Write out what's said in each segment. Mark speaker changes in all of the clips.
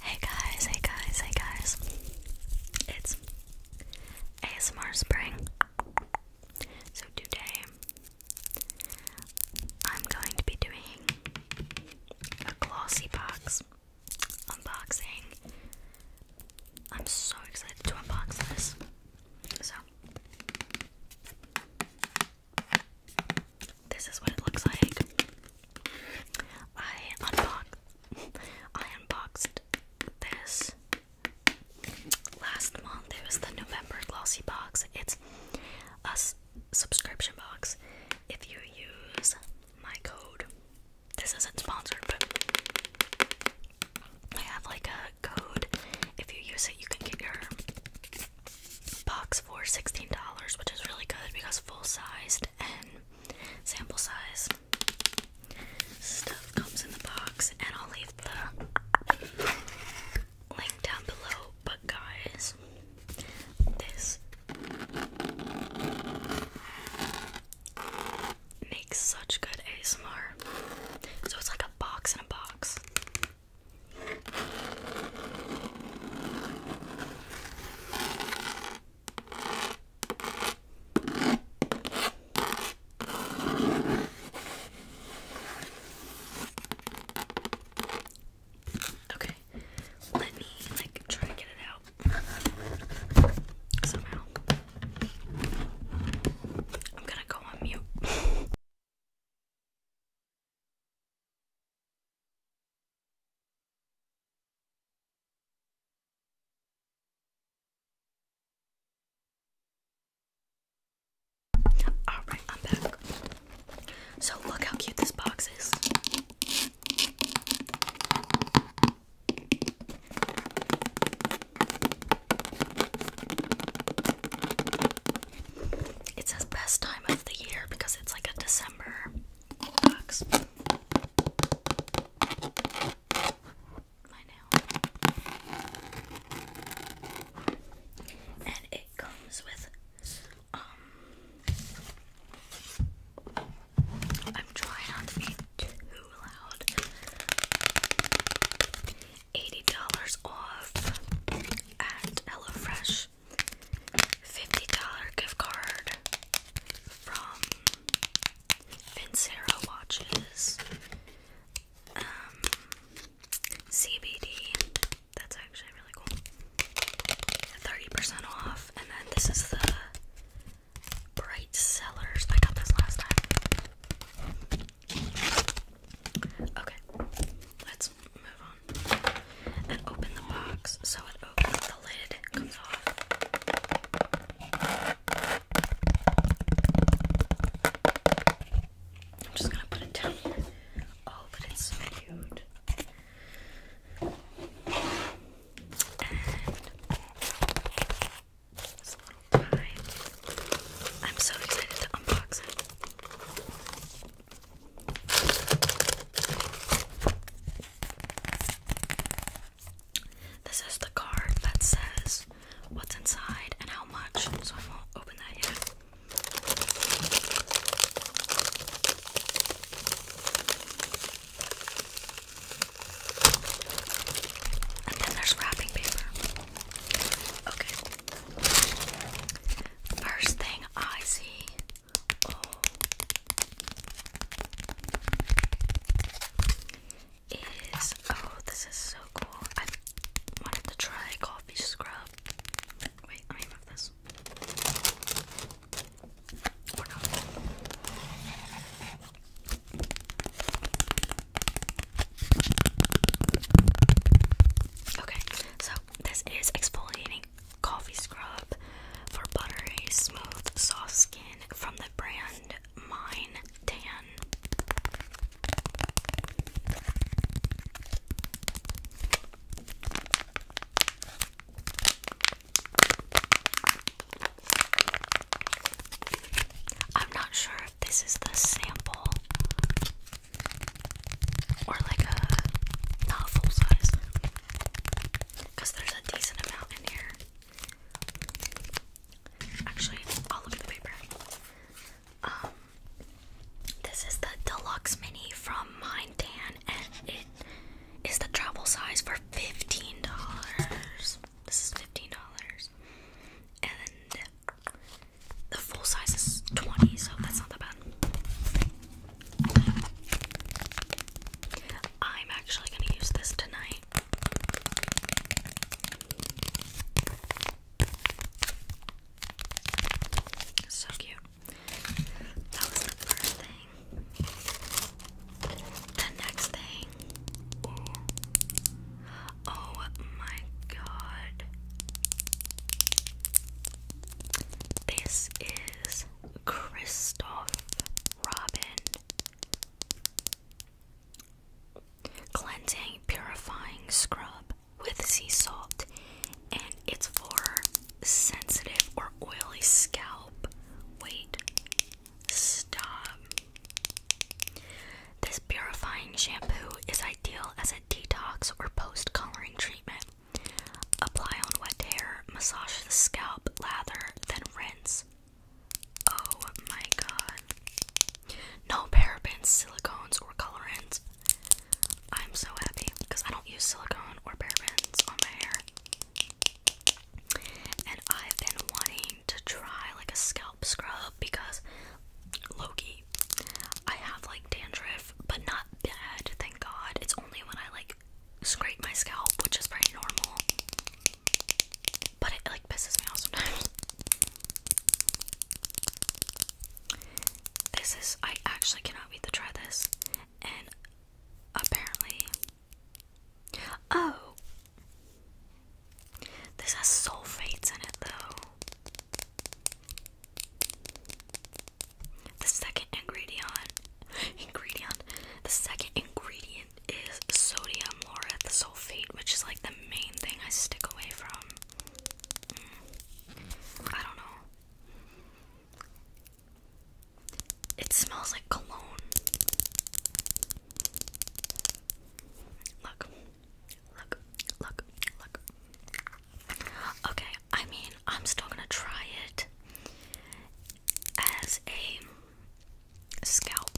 Speaker 1: Hey guys, hey guys, hey guys. It's ASMR Spring. So today I'm going to be doing a glossy box unboxing. I'm so excited to unbox this. So this is what it looks like. I unboxed I unboxed this last month. It was the November glossy box. It's a subscription box. If you use my code, this isn't sponsored, but I have like a code. If you use it, you can get your box for $16, which is really good because full sized and sample size stuff comes in the box. And I'll leave the link down below. But, guys, this makes such good ASMR. So, it's like a box in a box. Okay, let me like try to get it out somehow. I'm gonna go on mute. Alright, I'm back. So, look how cute this box is. It says best time of the year because it's like a December box. And it comes with um, I'm trying not to be too loud. $80 off at HelloFresh. $50 gift card from Vincero Watches. Um, CBD. That's actually really cool. 30% off. And then this is the Bright Sellers. I got this last time. Okay, let's move on and open the box. So it opens, the lid comes off. I'm just gonna put it down here. Oh, but it's cute. And this little I'm so excited to unbox it. This is the card that says what's inside and how much, so I won't open that yet. And then there's wrapping paper. Okay. First thing I see. is oh, this is so cool. I wanted to try coffee scrub. Wait, let me move this. Okay, so this is exfoliating coffee scrub for buttery, smooth, soft skin from the brand Mine Tan. I'm not sure this is the sample or like a not full size because there's a decent amount in here. Actually, I'll look at the paper. Um, this is the deluxe mini from Mine Mindan, and it is the travel size for fifteen dollars. This is fifteen dollars, and the full size is 20, so that's not that bad. I'm actually going to use this tonight. So cute. That was the first thing. The next thing. Oh my god. This is Christoph Robin. Cleansing purifying scrub with sea salt, and it's for sensitive or oily scalp. Wait, stop. This purifying shampoo is ideal as a detox or post coloring treatment. Apply on wet hair, massage the scalp, lather, then rinse. Oh my god. No parabens, silicones, or colorants. I'm so happy because I don't use silicone or parabens on my hair. And I've been wanting to try like a scalp scrub because Loki, I have like dandruff, but not bad, thank God. It's only when I like scrape my scalp, which is pretty normal. But it like pisses me off sometimes. This is I actually cannot wait to try this. And apparently Oh this has sulfates in it, though. The second ingredient, ingredient, the second ingredient is sodium laureth sulfate, which is like the main thing I stick away from. Mm. I don't know. It smells like cologne. Look, look, look, look. Okay, I mean, I'm still gonna try it as a scalp.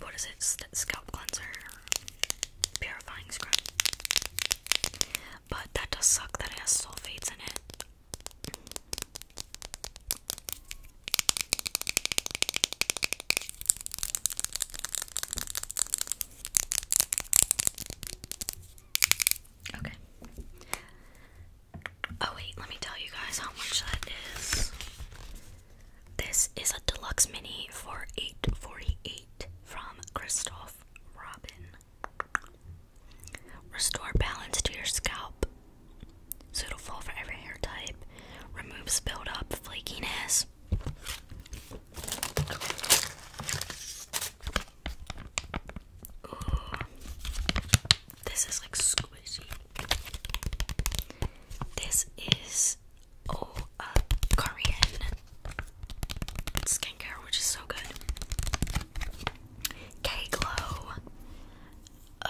Speaker 1: What is it? Scalp cleanser, purifying scrub. But that does suck that it has sulfates in it. Okay. Oh wait, let me tell you guys how much that is. This is a deluxe mini for 848 from Christoph Robin. Restore balance to your scalp. Suitable for every hair type. Removes buildup, flakiness, this. is like squishy. This is oh a Korean skincare, which is so good. K Glow. Uh,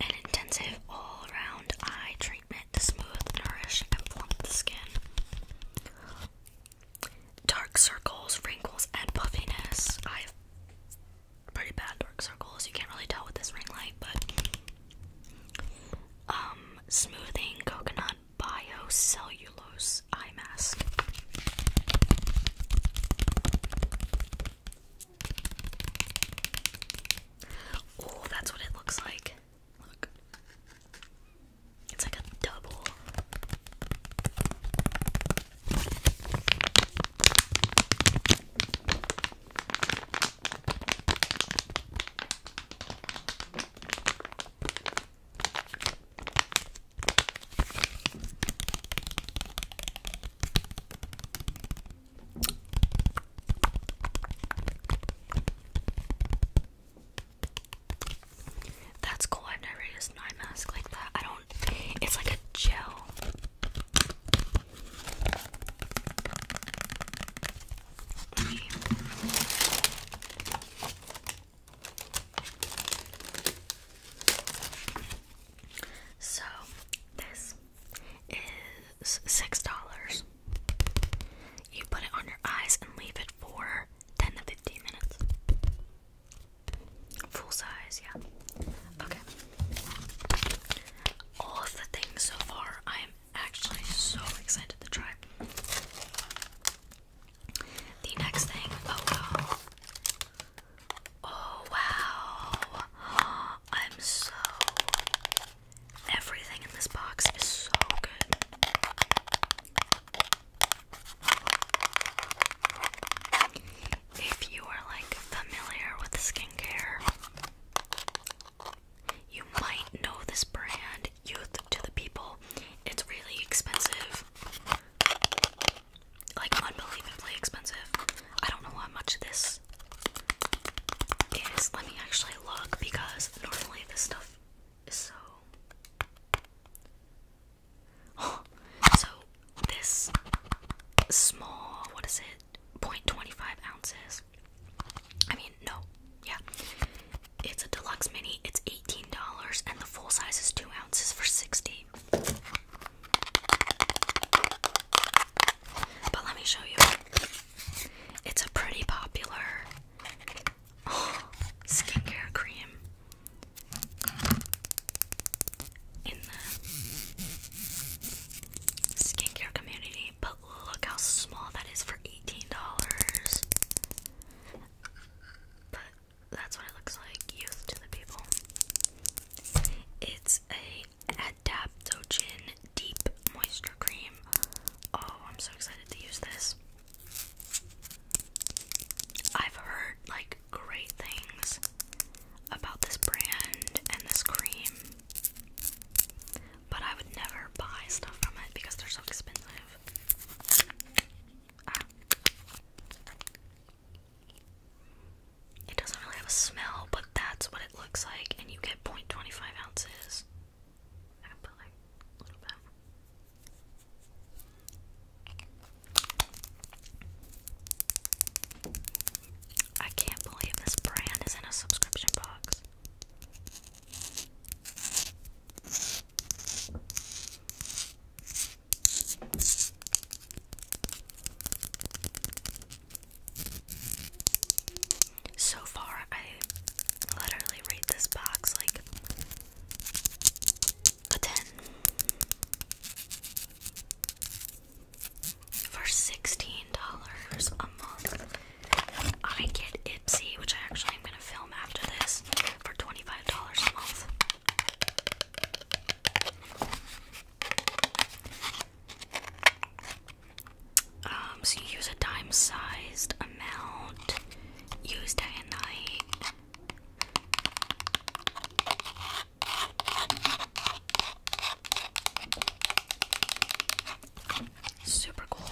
Speaker 1: an intensive all-round eye treatment to smooth, nourish, and plump the skin. Dark circles, wrinkles, and puffiness. I have pretty bad dark circles. You can't really tell with this ring light, but um, smoothing coconut biocellulose eye mask. Oh, that's what it looks like. Look. It's like a double. That's cool. I've never used eye mask like that. I don't. It's like a gel. So this is six dollars. You put it on your eyes and leave it for 10 to 15 minutes. Full size, yeah. Okay. All of the things so far, I am actually so excited to try. The next thing, oh, Oh wow. I'm so everything in this box is so good. If you are like familiar with skincare, you might know this brand, Youth to the People. It's really expensive like unbelievably expensive. I don't know how much this is. Let me actually look because normally this stuff is so. so this small, what is it? Point twenty five ounces. I mean, no, yeah. It's a deluxe mini. It's $18, and the full size is two ounces for 60 but let me show you. It's a pretty popular skincare cream in the skincare community. But look how small that is for $18. But that's what it looks like, youth to the people. It's a Adaptogen Deep Moisture Cream. Oh, I'm so excited to use this. I've heard like great things about this brand and this cream, but I would never buy stuff from it because they're so expensive. Ah. It doesn't really have a smell, but that's what it looks like, and you get 0.25 ounces. I can put like a little bit. I can't believe this brand is in a subscription box. So far, I literally rate this box like a 10 for $16 a month. I get Ipsy, which I actually am going to film after this, for $25 a month. Um, so you use a dime-sized amount, use day and night. Super cool.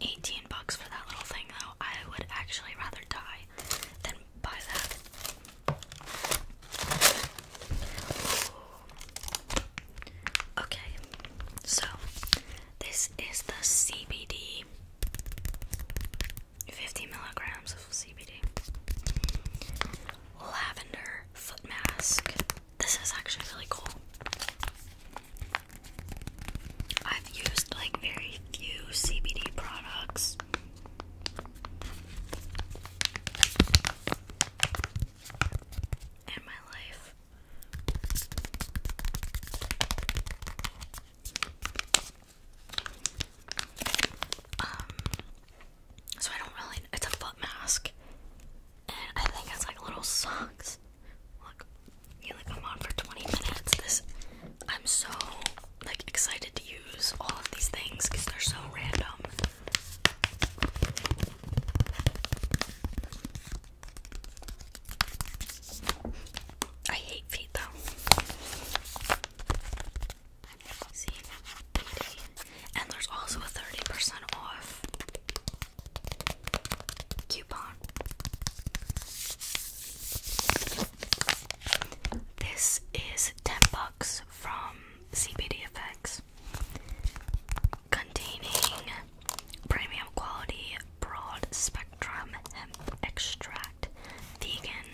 Speaker 1: 18 bucks for that little thing though. I would actually rather die than buy that. Okay, so this is the CBD 50 milligrams of CBD lavender foot mask. This is actually really cool. I've used like very few CBD products and my life. Um, so I don't really. It's a foot mask, and I think it's like little socks. Look, you leave them on for 20 minutes. This, I'm so like excited to use all of these things because they're so random. I hate feet though. See, and there's also a thirty percent off coupon. This is 10 bucks from CBD Effects, containing premium quality broad spectrum hemp extract, vegan.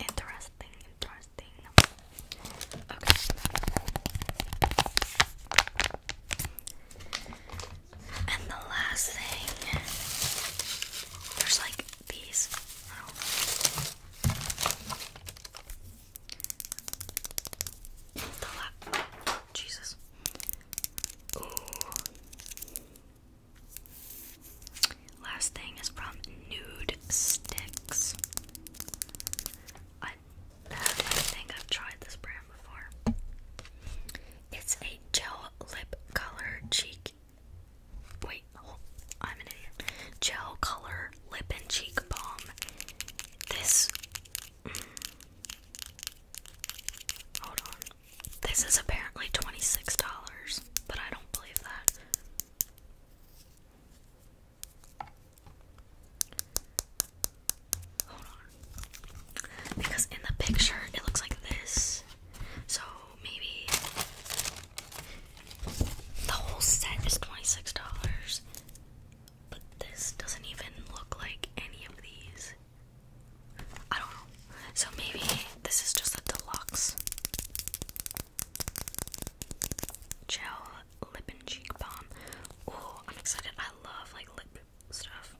Speaker 1: Interesting, interesting. Okay. And the last thing, there's like these. Jesus. Last thing is from Nude Sticks. I, I think I've tried this brand before. It's a gel lip color cheek. Wait, I'm an idiot. Gel color lip and cheek balm. This. Mm, hold on. This is apparently $26, but I don't believe that. Hold on. Because in the picture, it looks like this. So maybe the whole set is $26, but this doesn't even look like any of these. I don't know. So maybe this is just a deluxe gel lip and cheek balm. Oh, I'm excited. I love like lip stuff.